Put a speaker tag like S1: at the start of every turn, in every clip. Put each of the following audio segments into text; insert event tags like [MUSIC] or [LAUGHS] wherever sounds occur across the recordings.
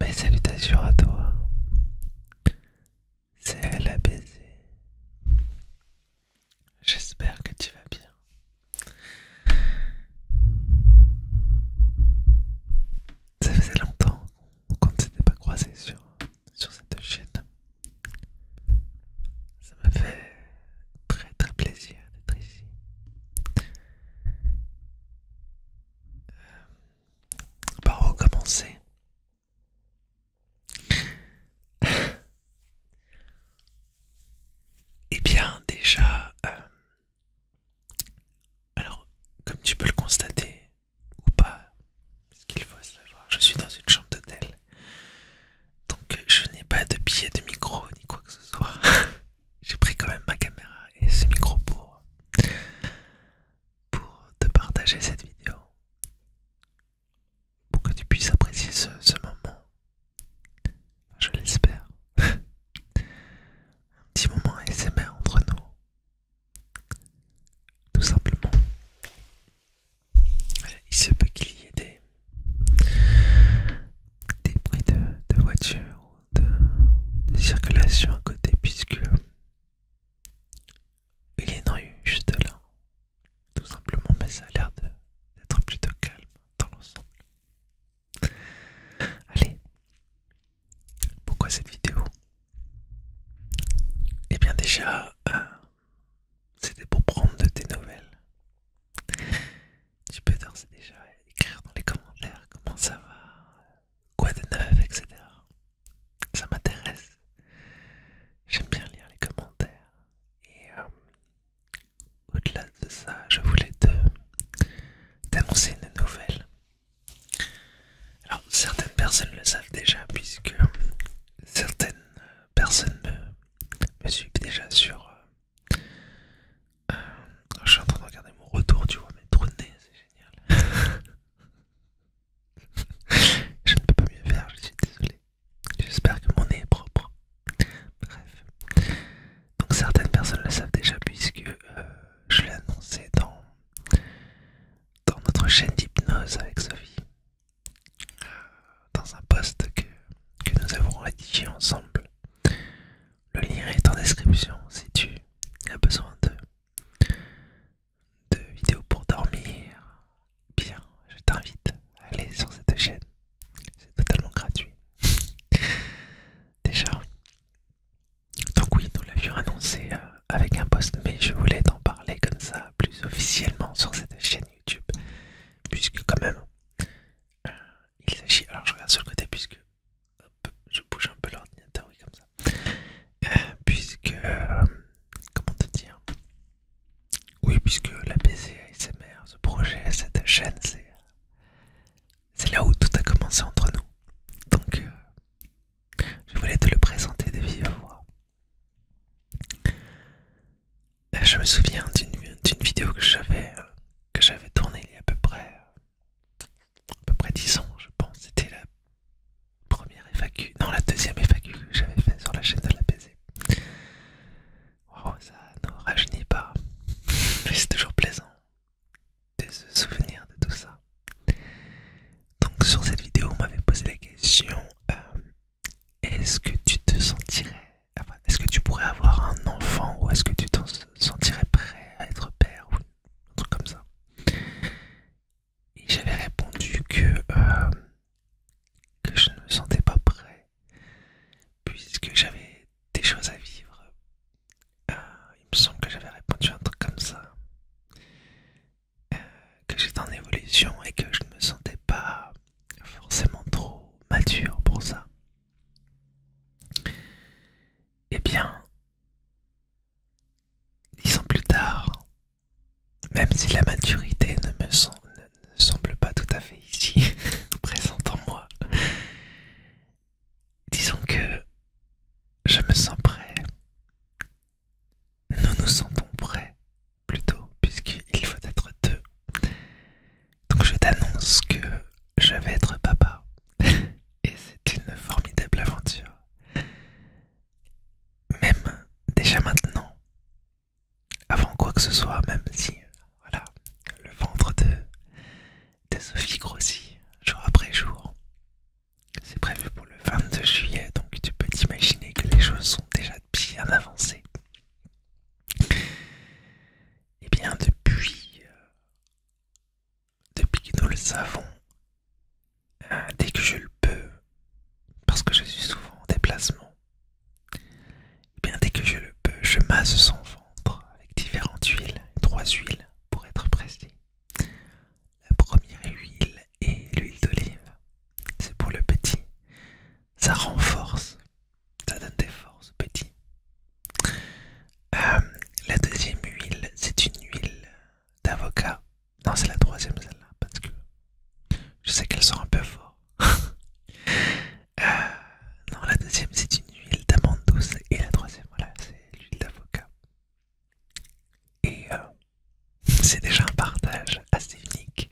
S1: Mes salutations à toi. C'est la baiser. J'espère que tu vas bien. Ça faisait longtemps qu'on ne s'était pas croisé sur, sur cette chaîne. Ça m'a fait très très plaisir d'être ici. Euh, on va recommencer. [LAUGHS] Eh bien, déjà, euh, alors, comme tu peux le constater, ou pas, qu'il faut je suis dans une chambre d'hôtel, donc je n'ai pas de billet de micro ni quoi que ce soit. [LAUGHS] j'ai pris quand même ma caméra et ce micro pour, pour te partager cette vidéo, pour que tu puisses apprécier ce, moment. Je l'espère. [LAUGHS] Un petit moment ASMR entre nous. Tout simplement. Il se peut qu'il y ait des, des bruits de, de voiture de, circulation à côté puisque il y a eu juste là, tout simplement, mais ça a l'air d'être plutôt calme dans l'ensemble. Allez, pourquoi cette vidéo et eh bien déjà, euh, c'était pour prendre de tes nouvelles. Tu peux déjà écrire dans les commentaires comment ça va, quoi de neuf, etc. Ça m'intéresse. J'aime bien lire les commentaires. Et euh, au-delà de ça, je voulais te t'annoncer une nouvelle. Alors, certaines personnes le savent déjà, puisque certaines euh, personnes me, suivent déjà sur, euh, euh, je suis en train de regarder mon retour, tu vois, mes trous de nez, c'est génial. [LAUGHS] je ne peux pas mieux faire, je suis désolé. J'espère que mon nez est propre. Bref. Donc certaines personnes le savent déjà puisque euh, je l'ai annoncé dans, dans notre chaîne d'hypnose avec Sophie. Dans un post que, que nous avons rédigé ensemble le lien est en description si tu as besoin de, vidéos pour dormir. Bien, je t'invite à aller sur cette chaîne. C'est totalement gratuit. [LAUGHS] Déjà. Donc oui, nous l'avions annoncé euh, avec un post, mais je voulais t'en parler comme ça plus officiellement sur cette chaîne YouTube. Puisque quand même, euh, il s'agit... Alors je regarde sur le côté puisque je bouge un peu l'ordinateur, oui, comme ça. Euh, puisque. Euh, comment te dire Oui, puisque la ASMR, ce projet, cette chaîne, c'est. là où tout a commencé entre nous. Donc, euh, je voulais te le présenter de vive voix. Je me souviens d'une vidéo que j'avais tournée il y a à peu près à peu près 10 ans, je pense. C'était la première FAQ, non, la deuxième FAQ que j'avais fait sur la chaîne de la ça ne rajeunit pas, mais c'est toujours plaisant de se souvenir de tout ça. Donc, sur cette vidéo, on m'avait posé la question euh, est-ce que tu te sentirais. est-ce que tu pourrais avoir un enfant ou est-ce que tu te sentirais prêt à être père ou un truc comme ça. Et j'avais répondu que, euh, que je ne me sentais pas prêt, puisque j'avais des choses à vivre. Euh, il me semble que j'avais répondu un truc comme ça. Euh, que j'étais en évolution et que je ne me sentais pas forcément trop mature pour ça. Eh bien, Disons plus tard, même si la maturité ne me semble, semble pas tout à fait ici, [LAUGHS] présente en moi, disons que je me sens prêt. Nous nous sentons prêts plutôt, puisqu'il faut être deux. Donc je t'annonce que je vais être papa. [LAUGHS] Et c'est une formidable aventure. Même déjà maintenant, avant quoi que ce soit, même si voilà, le ventre de, de Sophie grossit jour après jour. C'est prévu pour le 22 juillet, donc tu peux t'imaginer que les choses sont déjà bien avancées. Et eh bien depuis depuis que nous le savons, euh, dès que je le peux, parce que je suis souvent en déplacement, et eh bien dès que je le peux, je masse son ventre avec différentes huiles, trois huiles pour être précis. La première huile est l'huile d'olive, c'est pour le petit, ça renforce, ça donne des forces au petit, euh, la deuxième huile, c'est une huile d'avocat. Non, c'est la troisième celle-là, parce que je sais qu'elle sent un peu fort. [LAUGHS] Euh, non, la deuxième, c'est une huile d'amande douce. Et la troisième, voilà, c'est l'huile d'avocat. Et euh, [LAUGHS] c'est déjà un partage assez unique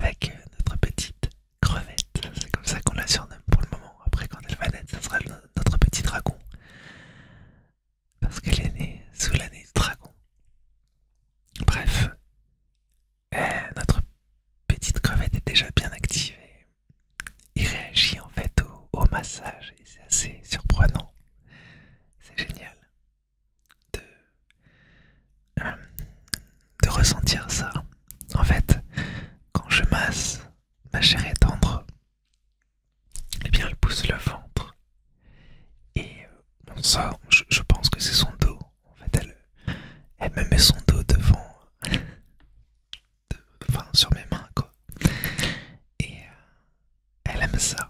S1: avec notre petite crevette. C'est comme ça qu'on la surnomme pour le moment. Après, quand elle va naître, ça sera le notre petit dragon. Parce qu'elle est née sous l'année du dragon. Bref, euh, notre petite crevette est déjà bien activée Il réagit en fait au, massage et c'est assez surprenant. C'est génial de euh, ressentir ça. En fait, quand je masse ma chère est tendre, eh bien, elle pousse le ventre. Et euh, ça, sort, je, pense que c'est son dos. En fait, elle, elle me met son dos devant. enfin, sur mes mains, quoi. Et euh, elle aime ça.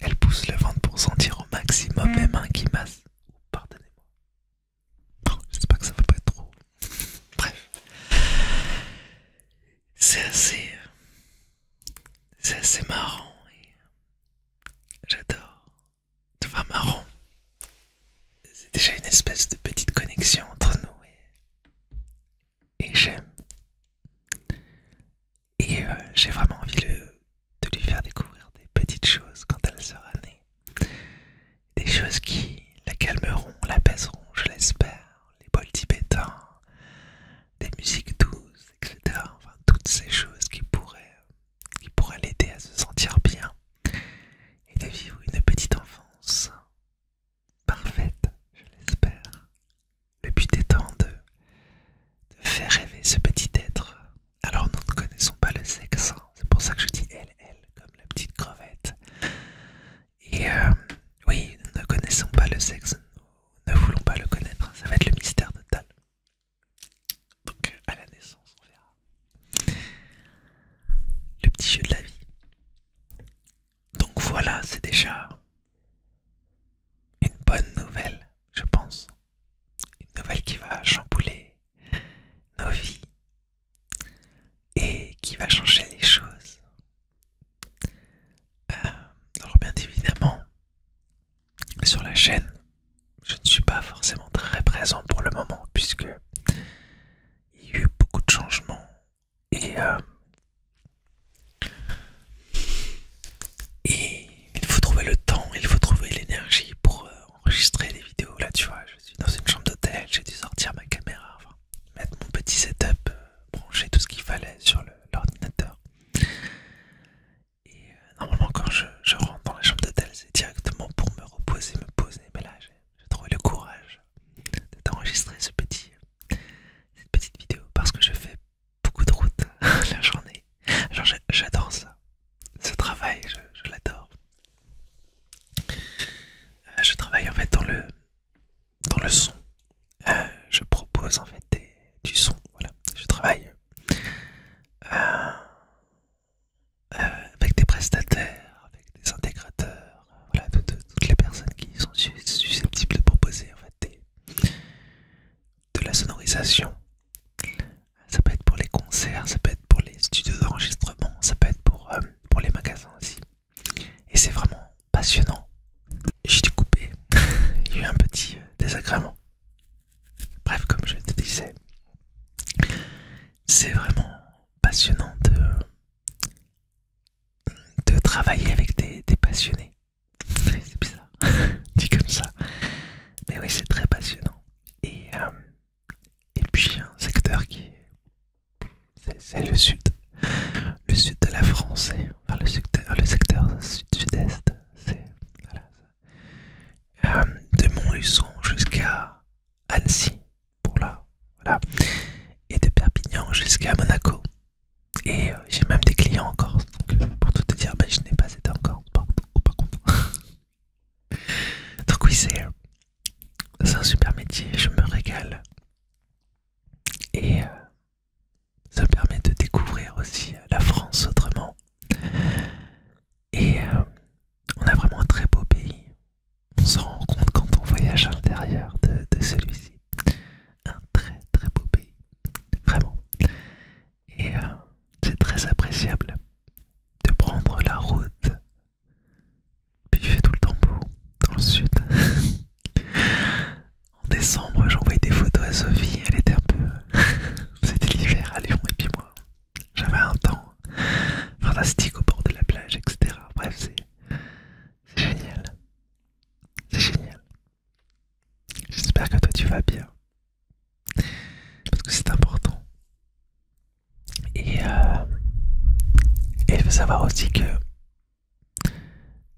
S1: Elle pousse le ventre pour sentir au maximum mes mm. mains qui massent. Pardonnez-moi. J'espère que ça va pas être trop. Bref. C'est assez. Euh, c'est assez marrant. J'adore. vois, marrant. C'est déjà une espèce de petite connexion entre nous. Et, j'aime. Et euh, j'ai vraiment envie de lui faire découvrir des petites choses quand elle sera née. Des choses qui la calmeront, la l'apaiseront, je l'espère. Les bols tibétains, des musiques douces, etc. Enfin, toutes ces choses qui pourraient, l'aider à se sentir bien et de vivre une petite enfance parfaite, je l'espère. Le but étant de, faire rêver ce petit être. Alors nous ne connaissons pas le sexe, hein. c'est pour ça que je dis elle. Elle comme la petite crevette. Et euh, oui oui, ne connaissons pas le sexe, nous ne voulons pas le connaître, ça va être le mystère total. Donc à la naissance, on verra. Le petit jeu de la vie. Donc voilà, c'est déjà une bonne nouvelle, je pense. Une nouvelle qui va chambouler nos vies, et qui va changer les choses. Euh, alors bien évidemment, sur la chaîne, je ne suis pas forcément très présent pour le moment puisque il y a eu beaucoup de changements et, euh, il faut trouver le temps, il faut trouver l'énergie pour euh, enregistrer les vidéos là tu vois je suis dans une chambre d'hôtel, j'ai dû sortir ma caméra, mettre mon petit setup, euh, brancher tout ce qu'il fallait sur l'ordinateur. Et euh, normalement, quand je, rentre dans la chambre d'hôtel, c'est directement pour me reposer, me poser. Mais là, j'ai trouvé le courage d'enregistrer cette petite vidéo parce que je fais beaucoup de route [LAUGHS] la journée. J'adore ça, ce travail, je l'adore. Euh, je travaille en fait dans le, dans le son. Euh, je propose en fait du son. je travaille euh, avec des prestataires, avec des intégrateurs, toutes les personnes qui sont susceptibles de proposer de la sonorisation. Ça peut être pour les concerts, ça peut être pour les studios d'enregistrement, ça peut être pour pour les magasins aussi. Et c'est vraiment passionnant. J'ai coupé il y a eu un petit euh, désagrément. Bref, comme je te disais, c'est vraiment passionnant de, de travailler avec des, passionnés. [LAUGHS] C'est bizarre, [LAUGHS] dit comme ça. Mais oui, c'est très passionnant. Et euh, et puis un secteur qui est, c'est le sud, le sud de la France, et, le secteur, sud-sud-est, c'est euh, de Montluçon jusqu'à Annecy, pour là, voilà, et de Perpignan jusqu'à Monaco. Et euh, j'ai même des clients en Corse, donc euh, pour tout te dire, mais ben, je n'ai pas été encore Corse, contre. Donc oui, c'est un super métier, je me régale. Et euh, ça ça permet de découvrir aussi la France autrement. Et euh, on a vraiment un très beau pays. On se rend compte quand on voyage à l'intérieur de, celui-ci. Un très très beau pays. Vraiment. Et euh, c'est très appréciable de prendre la route puis il fait tout le temps beau dans le sud. [LAUGHS] en décembre, j'envoyais des photos à Sophie, elle était un peu. [LAUGHS] C'était l'hiver à Lyon, et puis moi, j'avais un temps fantastique au bord de la plage, etc. Bref, c'est génial. C'est génial. J'espère que toi tu vas bien. Parce que c'est important. Euh, et, il faut savoir aussi que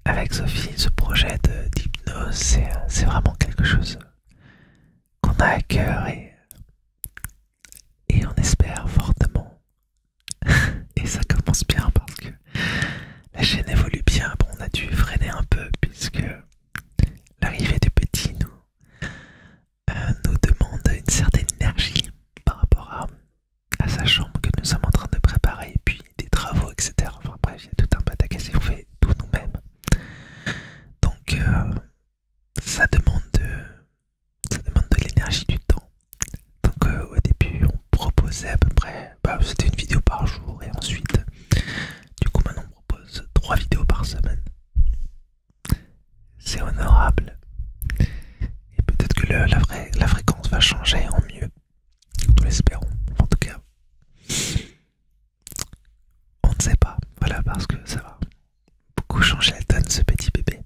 S1: avec Sophie, ce projet d'hypnose, c'est vraiment quelque chose qu'on a à cœur et, on espère fortement. [LAUGHS] et ça commence bien parce que la chaîne évolue bien. Bon, on a dû freiner un peu puisque l'arrivée du petit, nous euh, nous demande une certaine énergie par rapport à, sa chambre que nous sommes en train de préparer, et puis des travaux, etc. Enfin bref, il y a tout un à casser, on fait tout nous-mêmes. Donc euh, ça demande de, ça demande de l'énergie du temps. Donc euh, au début on proposait à peu près, bah, c'était une vidéo par jour et ensuite du coup maintenant on propose trois vidéos par semaine c'est honorable. Et peut-être que la, fréquence va changer en mieux. Nous l'espérons, en tout cas. On ne sait pas, voilà, parce que ça va beaucoup changer la donne, ce petit bébé.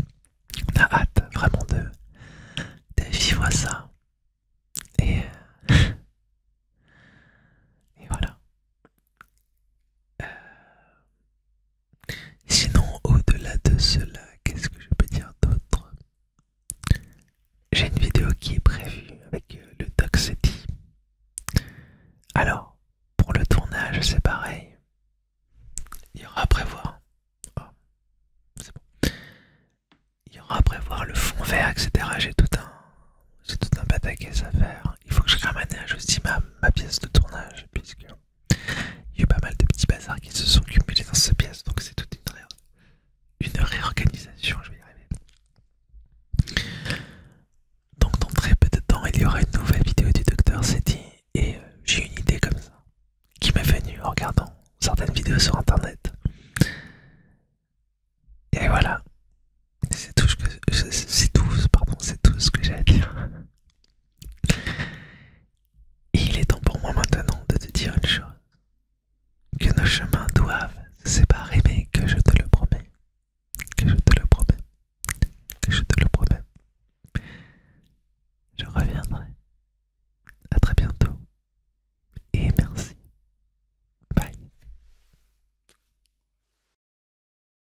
S1: On a hâte vraiment de, vivre ça. Et, [LAUGHS] et voilà. Euh, Sinon, au-delà de cela, qu'est-ce que je peux dire d'autre J'ai une vidéo qui est prévue avec euh, le Doc City. Alors, pour le tournage, c'est pareil. Il y aura à prévoir. Ah, c'est bon. Il y aura à prévoir le fond vert, etc. J'ai tout un. J'ai tout un pataquès à faire. Il faut que je ramène à ma, ma pièce de tournage, puisque Hein. Il y a eu pas mal de petits bazars qui se sont cumulés dans ce pièce, donc c'est toute une, réorganisation, je vais y arriver. Donc dans très peu de temps, il y aura une nouvelle vidéo du docteur Seti et euh, j'ai une idée comme ça qui m'est venue en regardant certaines vidéos sur internet. Et voilà, c'est tout, ce que, tout, pardon, tout ce que j'ai à dire il est temps pour moi maintenant de te dire une chose, que nos chemins doivent se séparer, mais que je te le promets, que je te le promets, que je te le promets. Je reviendrai. À très bientôt. Et merci. Bye.